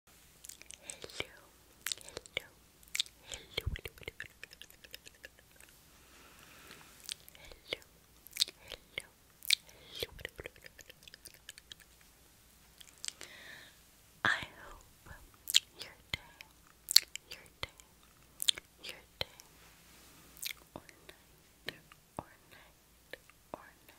hello, hello, hello, hello, hello, hello, I hope your day, your day, your day, or night, or night, or night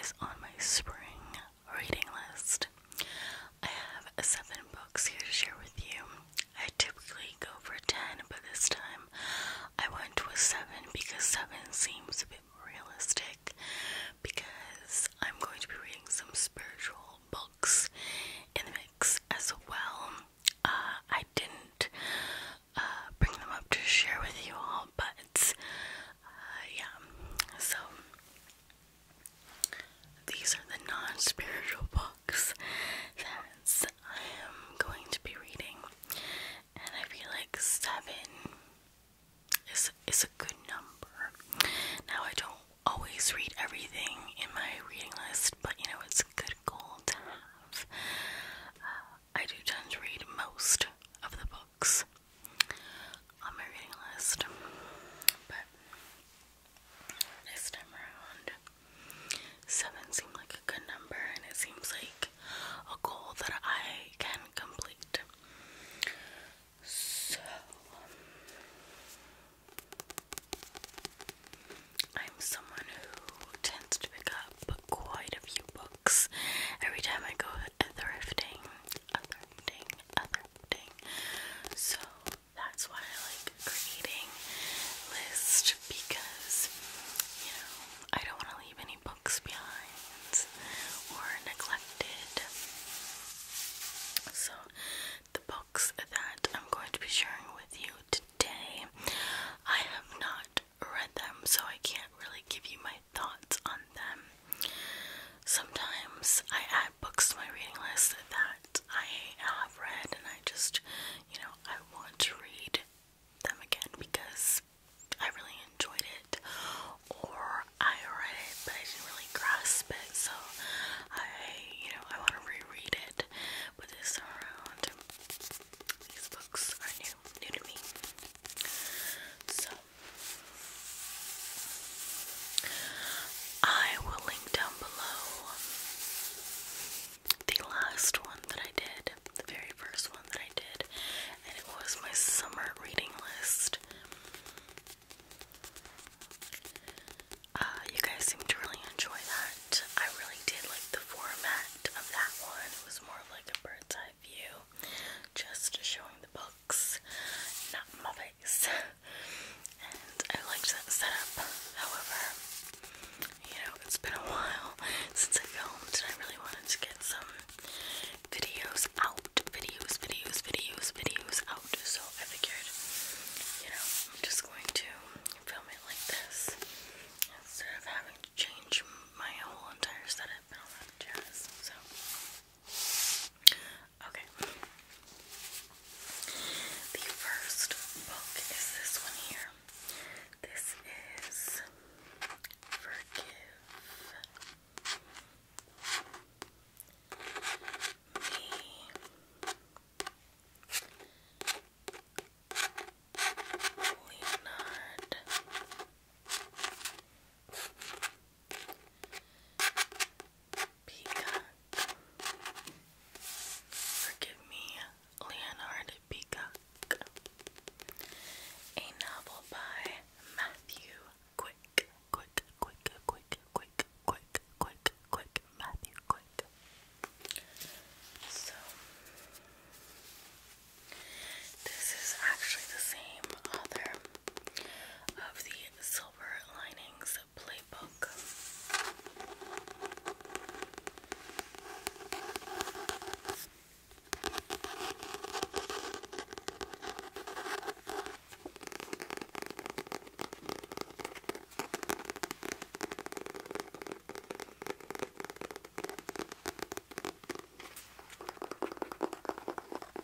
is on my spring reading list. I have seven books here to share with you. I typically go for ten, but this time I went with seven because seven seems a bit more realistic. Because I'm going to be reading some spiritual books in the mix as well. Uh, I didn't uh, bring them up to share with you all, but uh, yeah. So these are the non spiritual books that I am going to be reading, and I feel like seven is, is a good number. Now, I don't always read everything in my reading list, but you know, it's a good goal to have. Uh, I do tend to read most of the books on my reading list, but this time around, seven seemed like a good number, and it seems like a goal that I can complete. So, I'm someone who tends to pick up quite a few books every time I go thrifting. A thrifting other thing. So that's why I like creating lists because you know I don't want to leave any books behind or neglected. So the books that I'm going to be sharing with you today, I have not read them, so I can't really give you my thoughts on them. Sometimes I add books to my reading list that I have read and I just, you know, I want to read them again because I really enjoyed it or I read it but I didn't really grasp it so I, you know, I want to reread it but this time around these books are new, new to me so I will link down below the last one that I did, the very first one that I did, and it was my summer reading list. Uh, you guys seem to really enjoy that. I really did like the format of that one. It was more of like a bird's eye view, just showing the boat not my face. And I liked that setup. However, you know, it's been a while since I filmed and I really wanted to get some videos out. Videos, videos, videos, videos out. So I figured, you know, I'm just going to film it like this instead of having to change my whole entire setup and all that jazz. So Okay. The first book is this one here. This is Forgive Me. Leonard. Peacock. Forgive me, Leonard Peacock. A novel by Matthew Quick. Quick, quick, quick, quick, quick, quick, quick, Matthew Quick. So, this is actually the same author of the Silver Linings Playbook.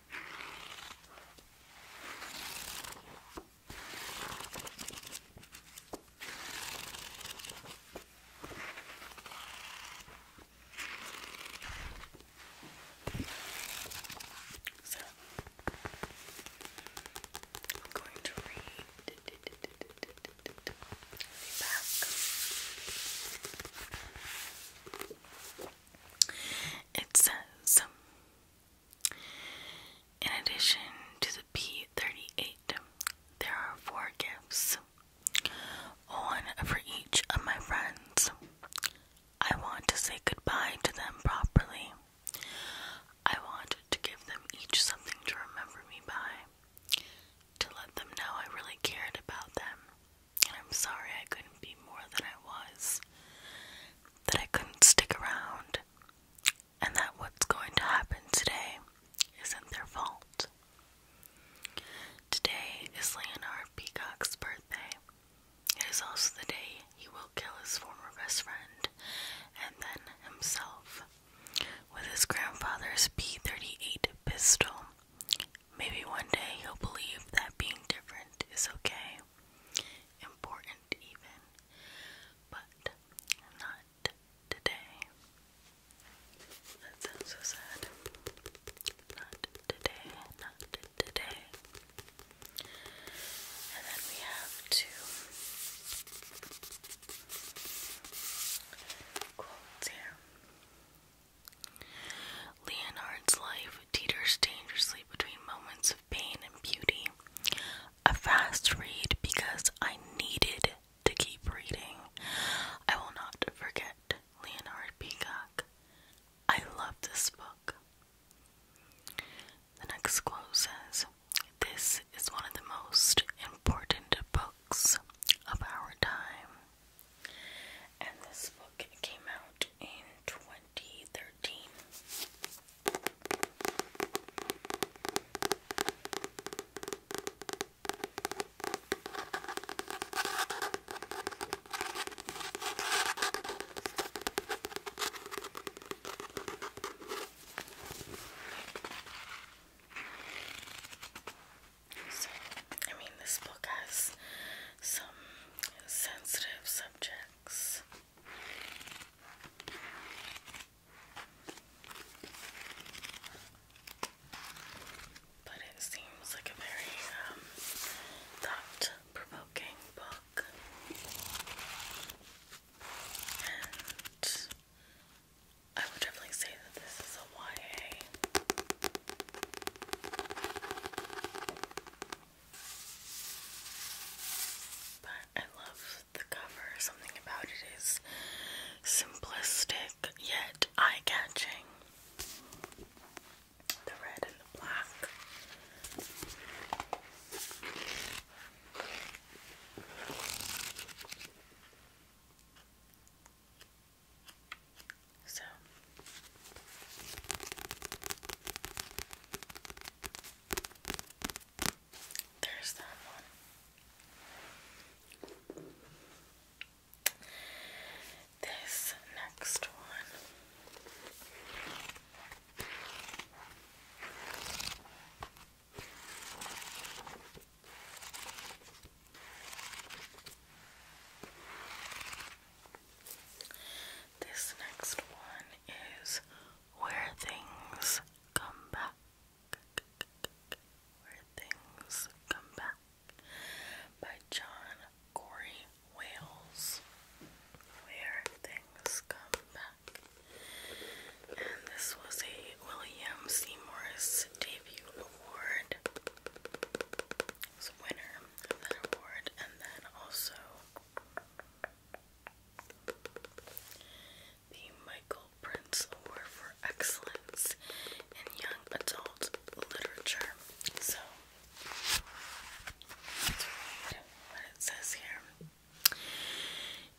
So I'm going to read the back. It says, um, in addition to the P 38, there are four gifts, one for each of my friends. I want to say goodbye to them properly. I want to give them each something to remember me by, to let them know I really cared about them, and I'm sorry I couldn't be more than I was. That I couldn't stick around. And that what's going to happen today isn't their fault. Today is Leonard Peacock's birthday. It is also the day he will kill his former best friend and then himself with his grandfather's P 38 pistol. Maybe one day he'll believe that being different is okay important even, but not today. That sounds so sad. Not today, not today. And then we have two quotes here. Leonard's life teeters dangerously between moments pain and beauty. A fast read because I needed to keep reading. I will not forget Leonard Peacock. I love this book. The next quote says, This is one of the most important books of our time. And this book came out in 20 2013. So, I mean, this book has some sensitive subjects, but it seems like a very um, thought provoking book. And I would definitely say that this is a YA. But I love the cover. Something about it is simplistic yet eye catching. The red and the black. So there's that one. This next one. This next one is Where Things Come Back. by John Corey Wales. Where Things Come Back. And this was a William C. debut award. winner that award and then also the Michael Prince Award for Excellence in Young Adult Literature. So, let's read what it says here.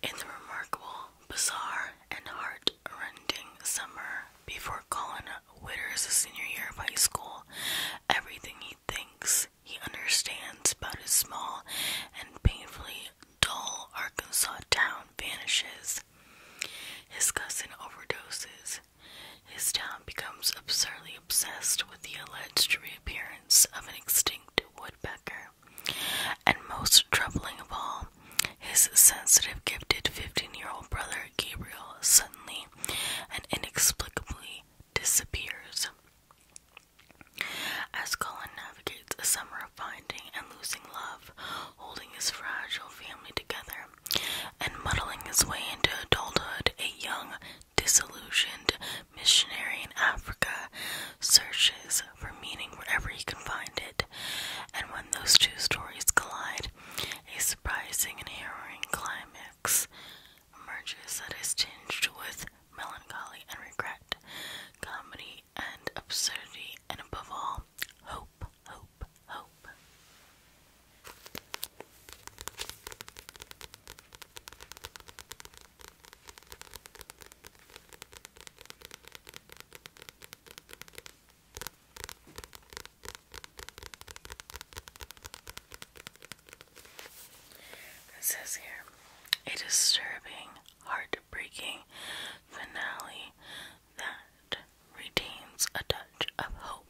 In the remarkable, bizarre, and heart-rending summer before Colin Witter's senior year of high school, everything he thinks he understands about his small and painfully dull Arkansas town vanishes. His cousin overdoses. His town becomes absurdly obsessed with the alleged reappearance of an extinct woodpecker. And most troubling of all, his sensitive, gifted 15 year old brother Gabriel suddenly and inexplicably disappears. As Colin navigates a summer of finding and losing love, holding his fragile family together, and muddling his way into adulthood, a young, disillusioned missionary in Africa searches for meaning wherever he can find it. And when those two stories collide, a surprising and harrowing climax emerges that is tinged with melancholy and regret, comedy and absurdity, and above all, hope, hope, hope. It says here a disturbing, heartbreaking finale that retains a touch of hope.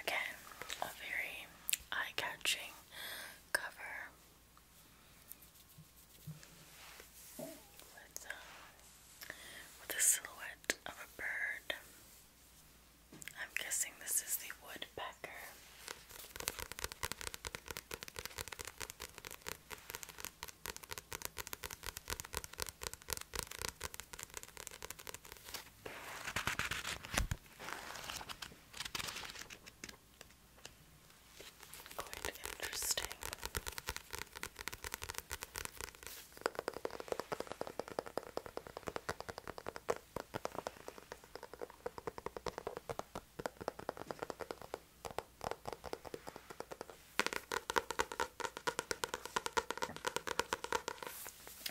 Again, a very eye catching cover with, um, silhouette of a bird. I'm guessing this is the woodpecker. Quite interesting.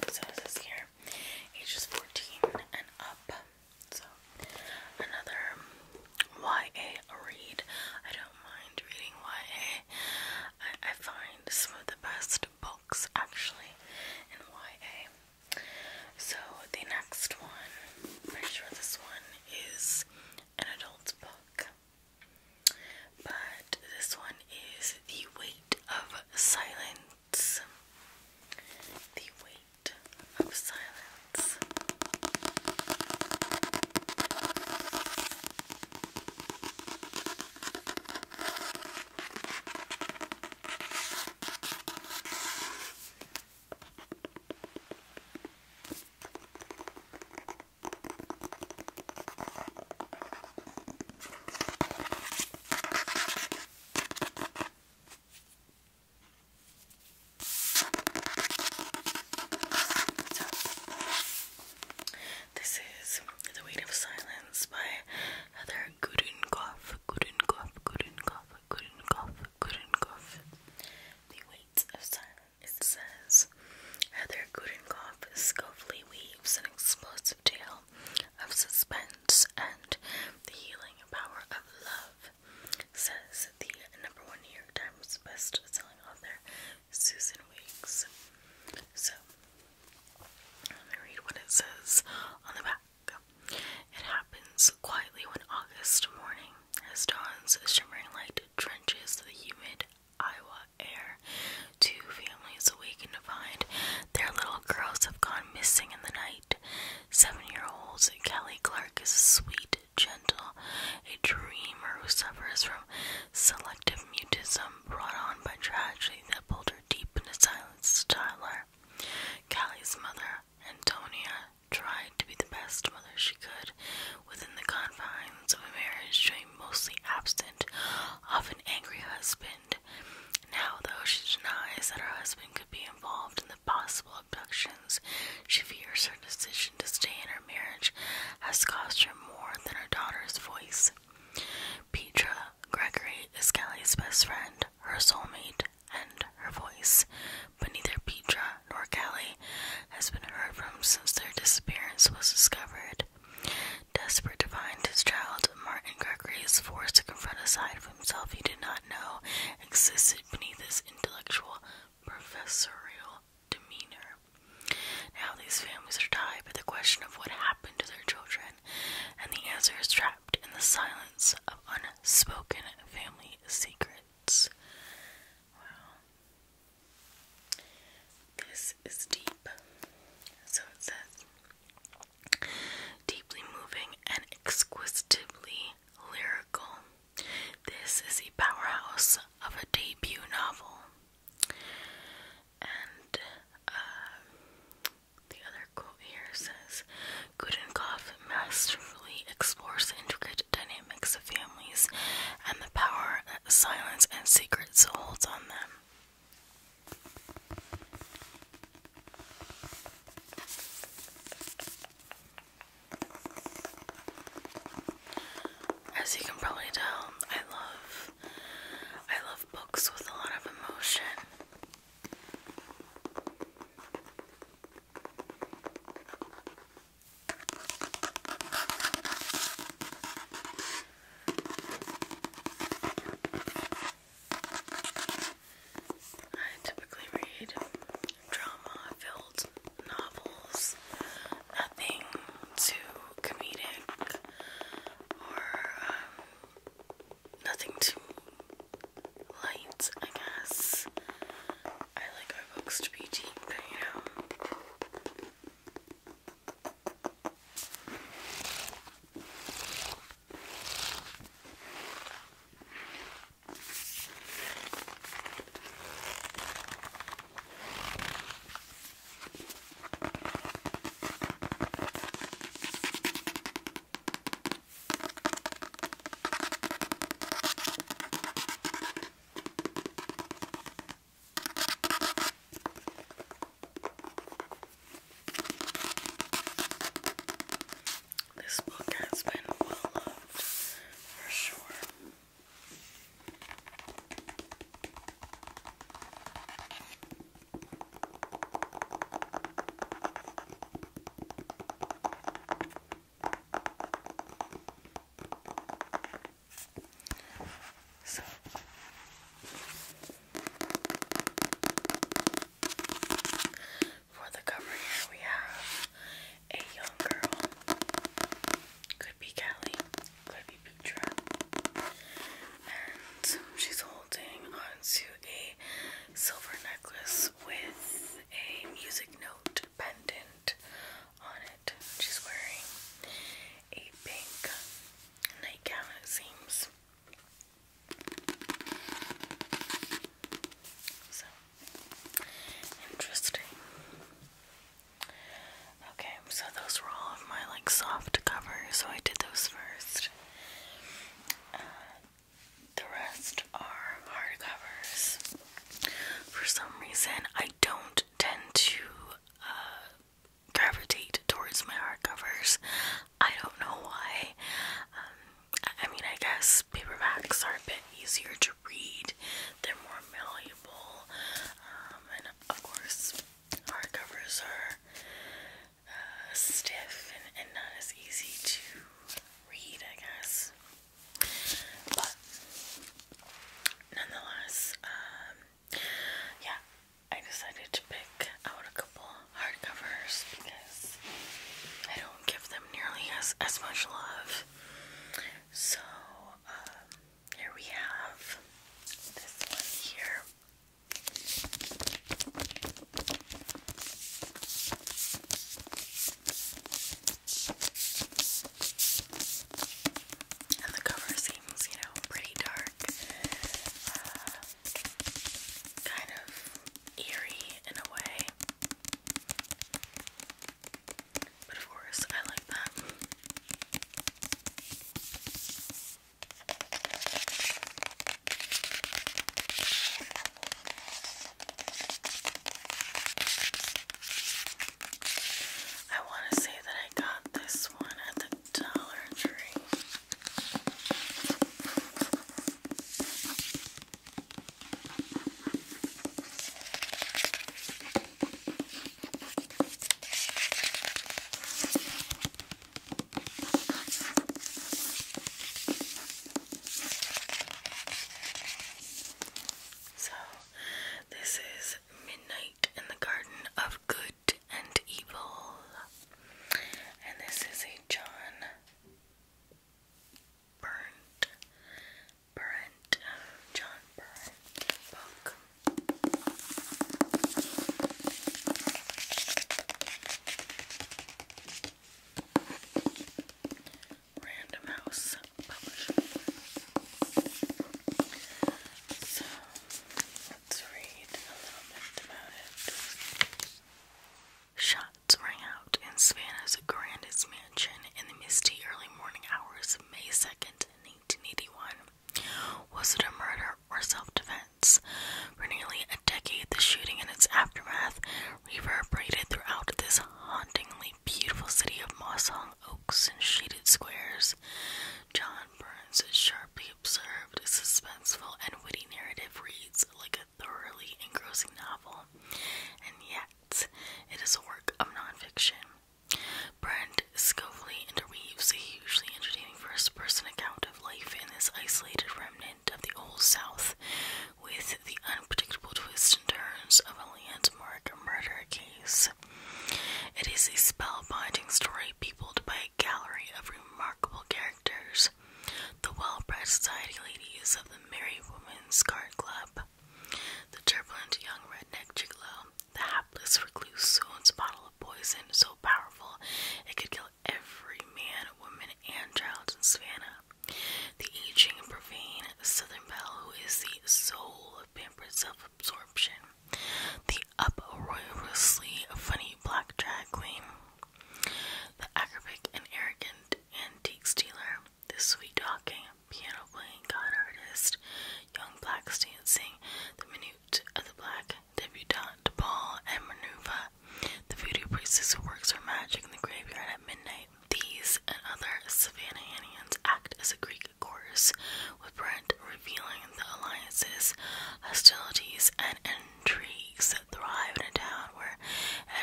So this here, ages 14 and up. So another YA read. I don't mind reading YA. I find some of the best books actually in YA. So the next one, I'm pretty sure this one is an adult book, but this one is The Weight of Silence. The Weight of Silence this is The Weight of Silence by Heather couldn't cough, couldn't cough, couldn't cough, could The weight of silence, it says. Heather Gudenkoff skillfully weaves an explosive tale of suspense and the healing power of love, says the number one New York Times best-selling author Susan Weeks. So, let me read what it says on the back. It happens quietly one August morning as dawn's shimmering light drenches the humid Iowa air. Two families awaken to find their little girls have gone missing in the night. Seven year old Kelly Clark is sweet, gentle, a dreamer who suffers from selective mutism brought on by tragedy that pulled her deep into silence. Tyler, Kelly's mother, Antonia tried to be the best mother she could within the confines of a marriage to a mostly absent, often angry husband. Now, though she denies that her husband could be involved in the possible abductions, she fears her decision to stay in her marriage has cost her more than her daughter's voice. Petra Gregory is Kelly's best friend, her soulmate, and her voice, but neither Petra nor Kelly has been heard from since their disappearance was discovered. Desperate to find his child, Martin Gregory is forced to confront a side of himself he did not know existed beneath his intellectual professorial demeanor. Now these families are tied by the question of what happened to their children, and the answer is trapped in the silence of unspoken family secrets. This is deep. So it says deeply moving and exquisitely lyrical. This is a powerhouse of a debut novel. And uh, the other quote here says Gudenkoff masterfully explores the intricate dynamics of families and the power that silence and secrets holds on them. As you can probably tell, I love I love books with a lot of emotion. I typically read drama filled novels, nothing too comedic or um, nothing too light, I guess. I like our books to be deep, you know. This book has been well loved for sure. So for the cover here we have a young girl. Could be Callie, could be Putra. And she's holding onto a silver necklace with a music note pendant on it. She's wearing a pink nightgown, it seems. So interesting. Okay, so those were all of my like soft covers, so I did those first. Uh, the rest are hardcovers. For some reason, I don't tend to uh, gravitate towards my hardcovers. I don't know why. Um, I, mean, I guess paperbacks are a bit easier to read, they're more malleable, um, and of course, hardcovers are uh, stiff and not as easy to read, I guess. But nonetheless, um, yeah, I decided to pick out a couple hardcovers because I don't give them nearly as as much love. So um, here we have this one here the cover seems, you know, pretty dark, uh, kind of eerie in a way. But of course, I like that. I want to say that I got this one at the Dollar Tree. So, this is Midnight in the Garden of Good and Evil. And this is a John Burnt, Burnt, John Burnt book. Random House So let's read a little bit about it. Shots rang out in Savannah's grandest mansion in the misty early morning hours of May 2nd, 1981. Was it a murder or self defense? For nearly a decade, the shooting and its aftermath reverberated throughout this hauntingly beautiful city of moss hung oaks and shaded squares. John Burns sharply observed suspenseful and witty narrative reads like a thoroughly engrossing novel, and yet it is a work of nonfiction. Brent skillfully interweaves a hugely entertaining first person account of life in this isolated remnant of the Old South with the unpredictable twists and turns of a landmark murder case. It is a spellbinding story peopled by a gallery of remarkable characters, the well bred society ladies of the Merry Women's Card Club, the turbulent young redneck gigolo, the hapless recluse who bottle of poison so powerful it could kill every man, woman, and child in Savannah. The aging profane Southern Belle, who is the soul of pampered self-absorption, the uproariously funny black drag queen, the acrobatic and arrogant antique stealer, the sweet talking, piano playing god artist, young blacks dancing, the minute of the black debutante ball and maneuver, the voodoo priestess who works her magic in the graveyard at midnight. These and other Savannahians act as a Greek chorus, with Brent revealing the alliances, hostilities, and intrigues that thrive in a town where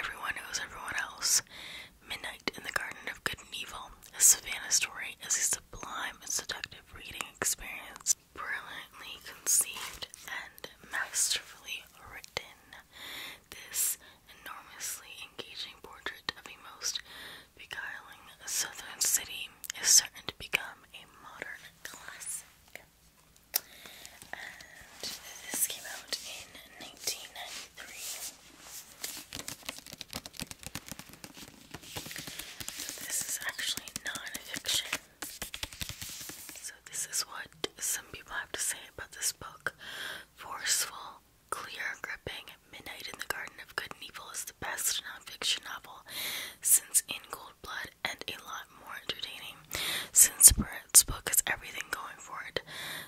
everyone knows everyone else. Midnight in the Garden of Good and Evil, a Savannah story, is a sublime and seductive reading experience, brilliantly conceived and masterfully written. This enormously engaging portrait of a most beguiling southern city is certain to become a modern classic. this came out in 1993. this is actually non So this is what some people have to say about this book. Forceful, clear, gripping, Midnight in the Garden of Good and Evil is the best nonfiction novel since In Cold Blood and a lot more entertaining since Barrett's book has everything going for it.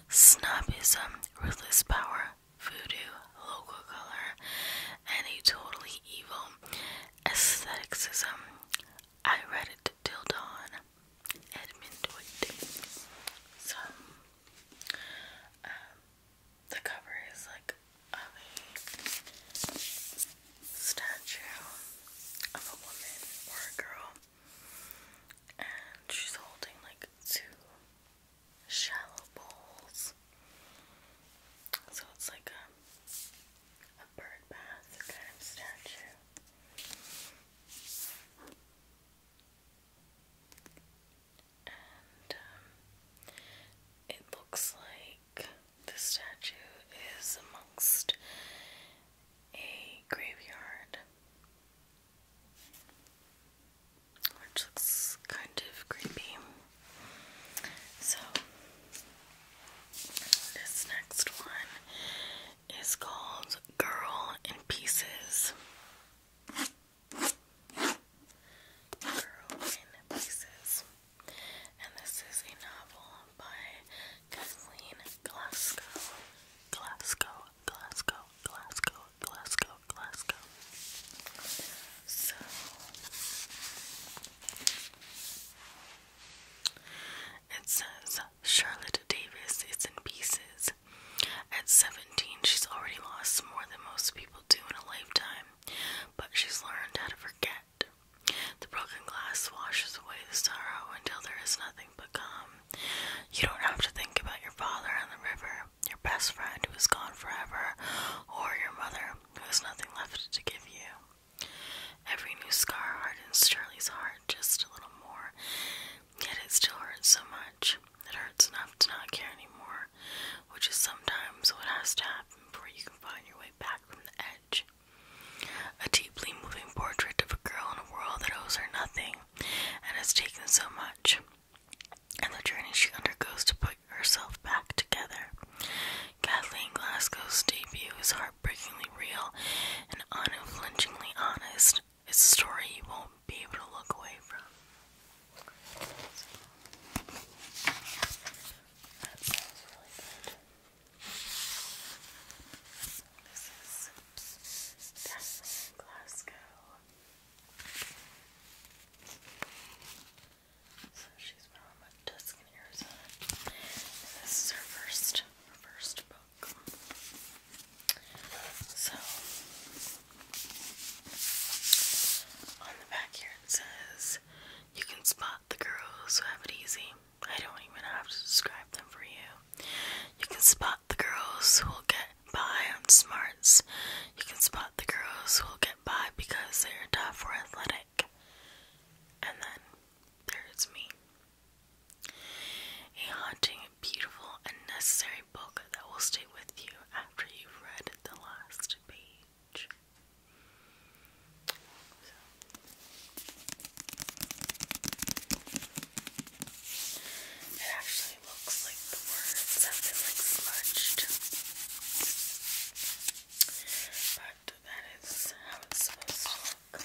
Snobism, ruthless power, voodoo, local color, and a totally evil aestheticism. I read it till dawn admin to So, um, the cover is like a statue of a woman or a girl, and she's holding like two shallow bowls. So it's like a um, a bird bath kind of statue. Um, it looks like the statue is amongst a graveyard, which looks kind of creepy. So, this next one is called Girl in Pieces. And this is a novel by Kathleen Glasgow. Glasgow, Glasgow, Glasgow, Glasgow, Glasgow. So it says Charlotte Davis is in pieces. At 17, she's already lost more than most people do in a lifetime, but she's learned how to forget. The broken glass washes away the sorrow until there is nothing but calm. You don't have to think about your father on the river, your best friend who is gone forever, or your mother who has nothing left to give you. Every new scar hardens Shirley's heart just a little more, Yet it still hurts so much. It hurts enough to not care anymore, which is sometimes what has to happen before you can find your way back from the edge. A deeply moving portrait of a girl in a world that owes her nothing and has taken so much, and the journey she undergoes to put herself back together. Kathleen Glasgow's debut is heartbreakingly real and unflinchingly honest, it's a story you won't be able to look away from. So, that sounds really good. This is Dazzling Glasgow. So she's Arizona. And this is her first, first book. So, on the back here it says, You can spot the girls who have it easy. I don't even have to describe them for you. You can spot the girls who will get by on smarts. You can spot the girls who will get by because they're tough or athletic. And then there's me. A haunting, beautiful, and necessary a book that will stay with you after you've read the last page. It actually looks like the words have been like smudged. But that is how it's supposed to look.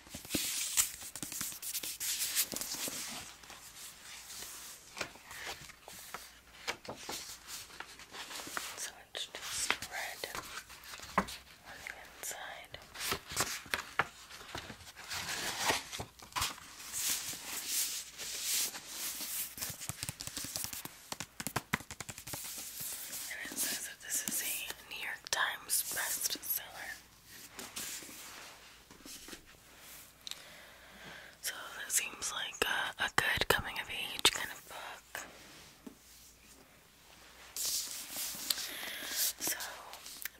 So it's just red on the inside. this is a New York Times bestseller. So that seems like a, good coming of age kind of book. So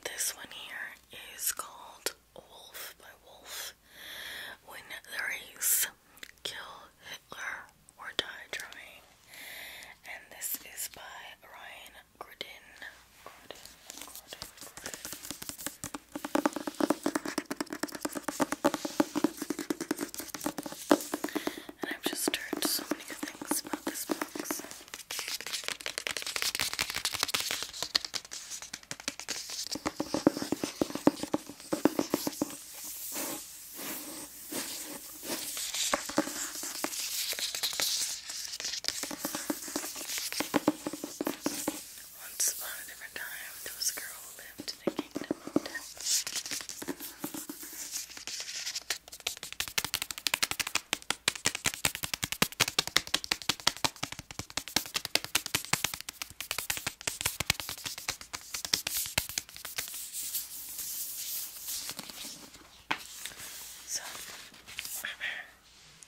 this one here is called Wolf by Wolf. When the race kill Hitler or die trying. And this is by Ryan Gordon, Gordon, Gordon, And I've just heard so many things about this box. Once upon a different time, there was a girl who lived in a kingdom of death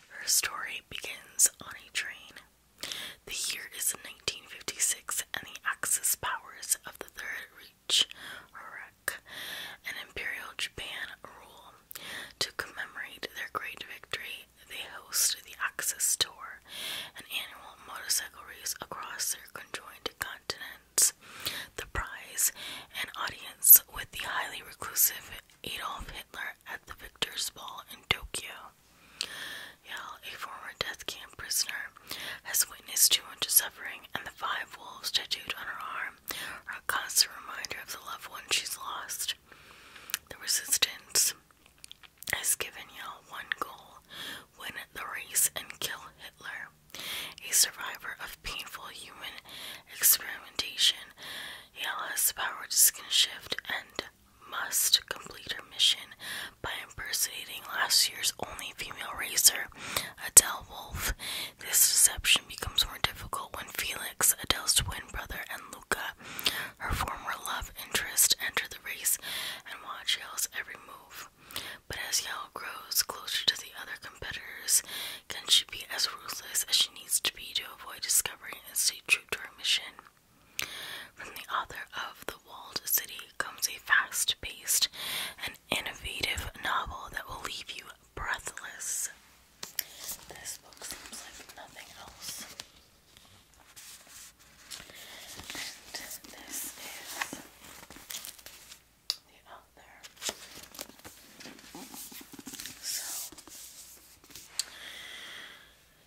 her story begins on a train. The year is 1956, and the Axis powers of the Third Reich, Iraq, and Imperial Japan rule. To commemorate their great victory, they host the Axis Tour, an annual motorcycle race across their conjoined continents the prize, an audience with the highly reclusive Adolf Hitler at the Victor's Ball in Tokyo. Yale, a former death camp prisoner, has witnessed too much suffering, and the five wolves tattooed on her arm are a constant reminder of the loved ones she's lost. The resistance has given Yale one goal win the race and kill Hitler. A survivor of painful human experimentation, Yale has the power to skin shift and must complete her mission by impersonating last year's only female racer, Adele Wolf. This deception becomes more difficult when Felix, Adele's twin brother, and Luca, her former love interest, enter the race and watch Yale's every move. But as Yale grows closer to the other competitors, can she be as ruthless as she needs to be to avoid discovery and stay true to her mission? From the author of The Walled City comes a fast paced and innovative novel that will leave you breathless. This book seems like nothing else. And this is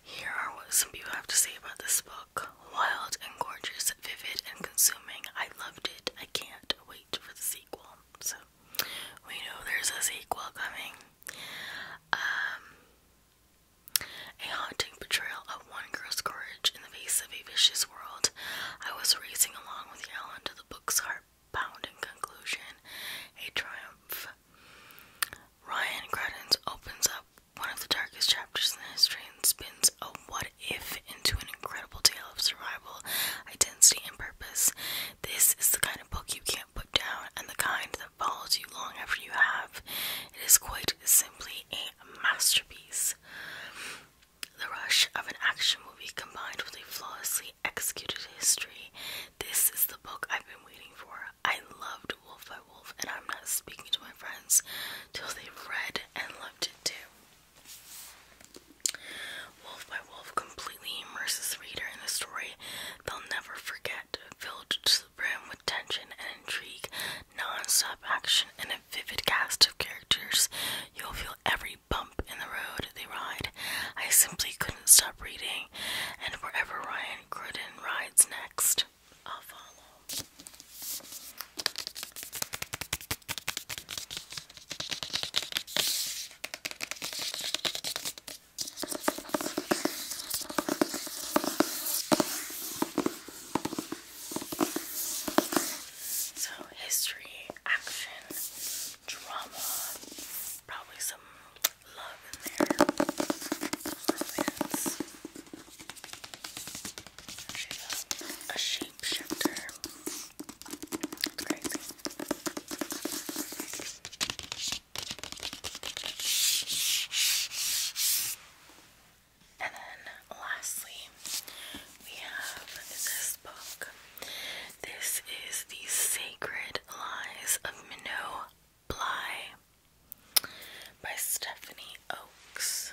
here are what some people have to say about this book. Wild and gorgeous, vivid and consuming. I loved it. I can't wait for the sequel. So, we know there's a sequel coming. Um, a haunting portrayal of one girl's courage in the face of a vicious world. I was racing along with Alan to the book's heart Bound in conclusion, a triumph. Ryan Credens opens up one of the darkest chapters in history and spins a what if into an incredible tale of survival, identity, and purpose. This is the kind of book you can't put down and the kind that follows you long after you have. It is quite simply a masterpiece. The rush of an action movie combined with a flawlessly executed history. This is the book I've been waiting for. I loved Wolf by Wolf, and I'm not speaking to my friends till they read and loved it too. Wolf by Wolf completely immerses the reader in a story they'll never forget, filled to the brim with tension and intrigue, non action, and a vivid cast of characters. You'll feel every bump in the road they ride. I simply couldn't stop reading, and wherever Ryan Cruden rides next, I'll follow. So, history, action, drama, probably some love in there. Romance. a, shapeshifter. And then lastly, we have this book. This is The Sacred Lies of Minot Bly by Stephanie Oaks.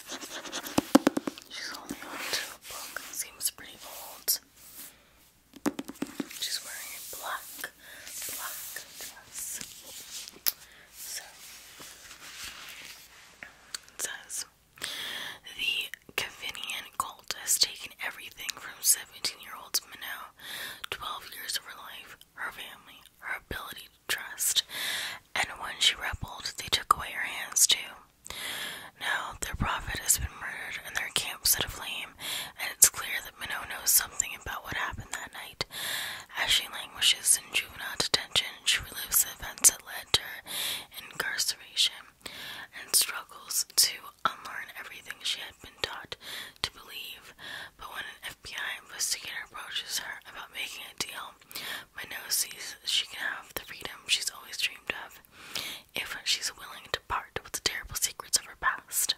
She's only on a book. Seems pretty old. She's wearing a black, black dress. So, it says the Cavinian cult has taken everything from 17 year old Minot, 12 years of her life, her family, her ability trust, and when she rebelled, they took away her hands too. Now their prophet has been murdered and their camp set aflame, and it's clear that Minot knows something about what happened that night. As she languishes in juvenile detention, she relives the events that led to her incarceration and struggles to unlearn everything she had been taught to believe. But when Behind, investigator approaches her about making a deal. But Minos sees she can have the freedom she's always dreamed of if she's willing to part with the terrible secrets of her past.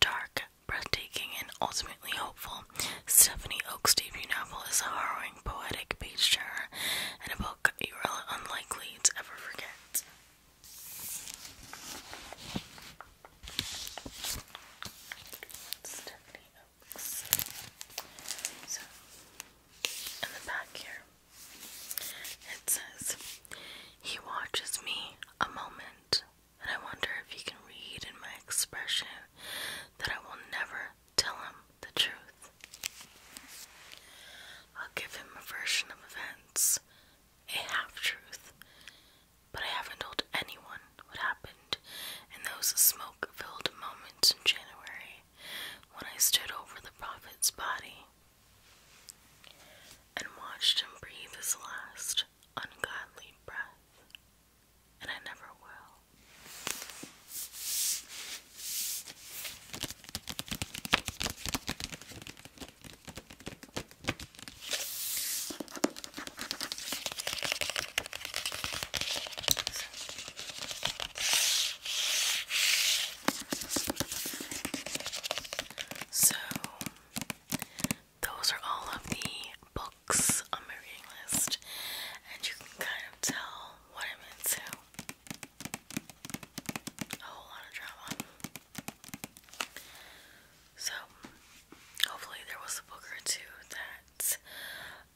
Dark, breathtaking, and ultimately hopeful, Stephanie Oak's debut novel is a harrowing, poetic page turner and a book you are unlikely to ever forget. So, in the back here, it says, He watches me a moment, and I wonder if he can read in my expression that I will never tell him the truth. I'll give him a version of events, a half truth, but I haven't told anyone on what happened in those smoke filled moments in January when I stood over the prophet's body and watched him breathe his last ungodly breath, and I never will. So, those are all of the books on my reading list, and you can kind of tell what I'm into. A whole lot of drama. So, hopefully, there was a book or two that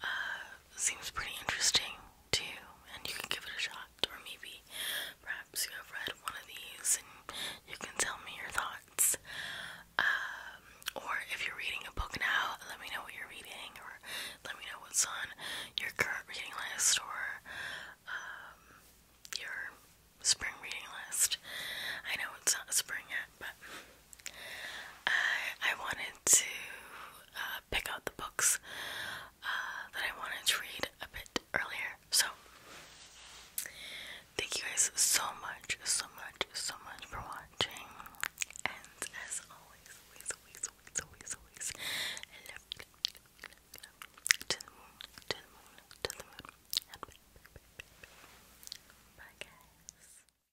uh, seems pretty interesting too, and you can give it a shot, or maybe perhaps you have read one of these and you can tell me your thoughts. Um, or if you're reading a book now, let me know what you're reading, or let me know what's on your current reading list, or um, your spring reading list. I know it's not spring yet, but I, wanted to uh, pick out the books uh, that I wanted to read a bit earlier. So, thank you guys so much, so much, so much for watching. And as always, always, always, always, always, always, I To the moon, to the moon, to the moon. bye guys.